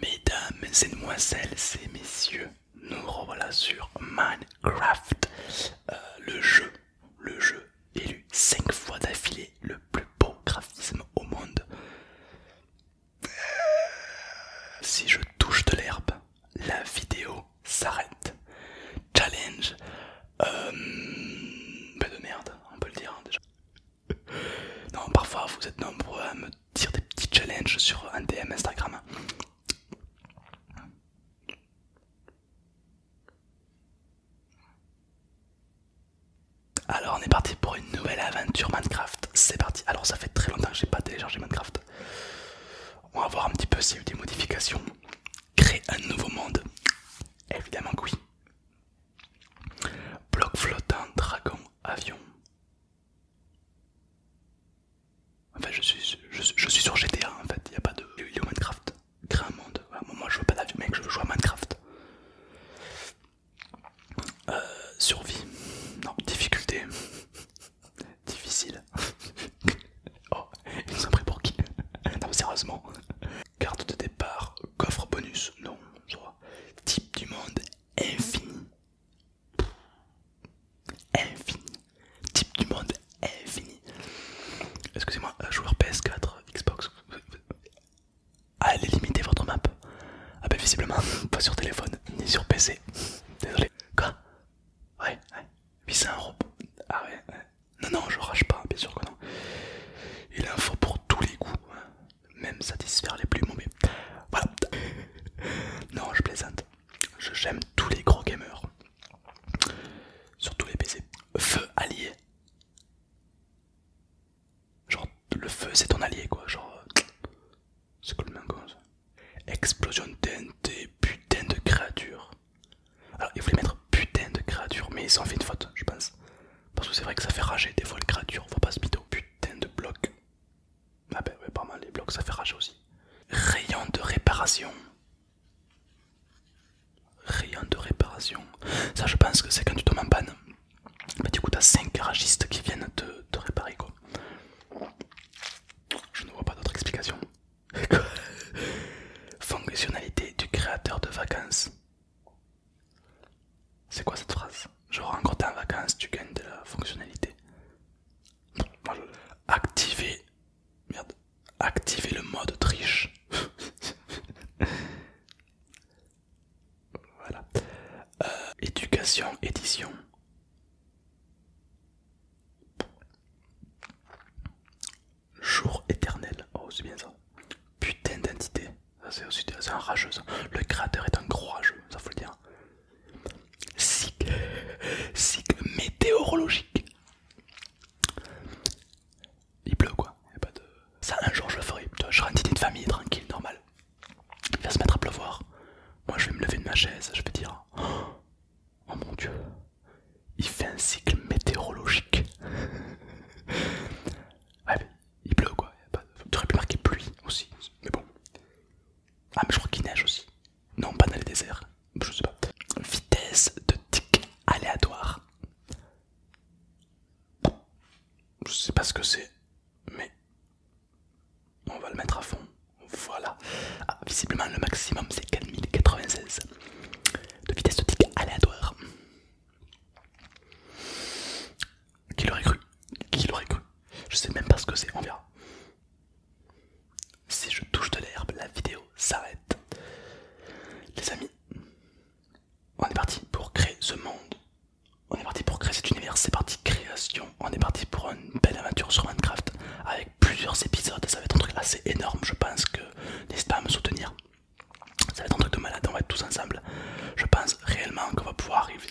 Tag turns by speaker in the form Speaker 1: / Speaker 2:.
Speaker 1: Mesdames et demoiselles et messieurs, nous revoilà sur Minecraft, euh, le jeu, le jeu élu 5 fois d'affilée le plus beau graphisme au monde. Euh, si je touche de l'herbe, la vidéo s'arrête. Challenge, un euh, bah de merde, on peut le dire hein, déjà. Non, parfois vous êtes nombreux à me dire des petits challenges sur un DM Instagram. Alors on est parti pour une nouvelle aventure Minecraft, c'est parti. Alors ça fait très longtemps que j'ai pas téléchargé Minecraft. On va voir un petit peu s'il y a eu des modifications. Créer un nouveau monde. Évidemment que oui. Bloc flottant, dragon, avion. Enfin, je suis, je, suis sur GTA en fait, il n'y a pas de. Il Minecraft. monde. moi, je veux pas d'avion, mec, je veux jouer à Minecraft. Euh, survie. Non, difficulté. Difficile. Oh, ils nous pris pour qui Non, sérieusement. Carte de départ, coffre bonus, non, je Type du monde, infini. Infini. Type du monde, infini. Excusez-moi, joueur PS4, Xbox. Allez euh, limiter votre map. Ah, ben visiblement, pas sur téléphone, ni sur PC. Désolé. Quoi Ouais, ouais. Puis c'est un robot. Ah ouais, Non, non, je rage pas, bien sûr que non. Il en faut pour tous les goûts, hein. même satisfaire les plus mauvais. Voilà. Non, je plaisante. Je j'aime tous les gros gamers. Surtout les PC. Feu allié. Genre, le feu c'est ton allié quoi. Genre, euh, c'est cool, même quoi. Ça. Explosion TNT, putain de créatures Alors, ils voulaient mettre putain de créatures mais ils ont fait une faute, je pense. Parce que c'est vrai que ça fait rager des fois les créatures, on va pas se au Putain de blocs Ah bah ouais, pas mal, les blocs ça fait rager aussi. Rayon de réparation. Rayon de réparation. Ça, je pense que c'est quand tu tombes en panne. Bah, du coup, t'as 5 garagistes qui viennent te réparer quoi. Je ne vois pas d'autre explication. Fonctionnalité du créateur de vacances. C'est quoi cette phrase Genre, encore en vacances, tu gagnes de la fonctionnalité. Activer. Merde. Activer le mode triche. Voilà. Euh, éducation, édition. Jour éternel. Oh, c'est bien ça. Putain d'entité. C'est aussi un rageux. Le créateur est un gros rageux, ça faut le dire. Cycle météorologique il pleut quoi. Il a pas de... Ça un jour je le ferai, je serai un de famille tranquille, normal. Il va se mettre à pleuvoir. Moi je vais me lever de ma chaise, je vais dire oh, mon dieu, il fait un cycle météorologique. ouais, mais il pleut quoi. Pas... Tu aurais pu marquer pluie aussi, mais bon. Ah, mais je crois qu'il neige aussi. Non, pas dans les déserts. Je sais pas. Vitesse de tic aléatoire. Je sais pas ce que c'est, mais on va le mettre à fond. Voilà. Ah, visiblement, le maximum c'est 4096 de vitesse de tic aléatoire. Qui l'aurait cru Qui l'aurait cru Je sais même pas ce que c'est, on verra. Si je touche de l'herbe, la vidéo s'arrête. Les amis, on est parti pour créer ce monde. On est parti pour créer cet univers, c'est parti création. On est parti pour une belle aventure sur Minecraft avec plusieurs épisodes. Ça va être un truc assez énorme, je pense que n'hésite pas à me soutenir. Ça va être un truc de malade, on va être tous ensemble. Je pense réellement qu'on va pouvoir arriver.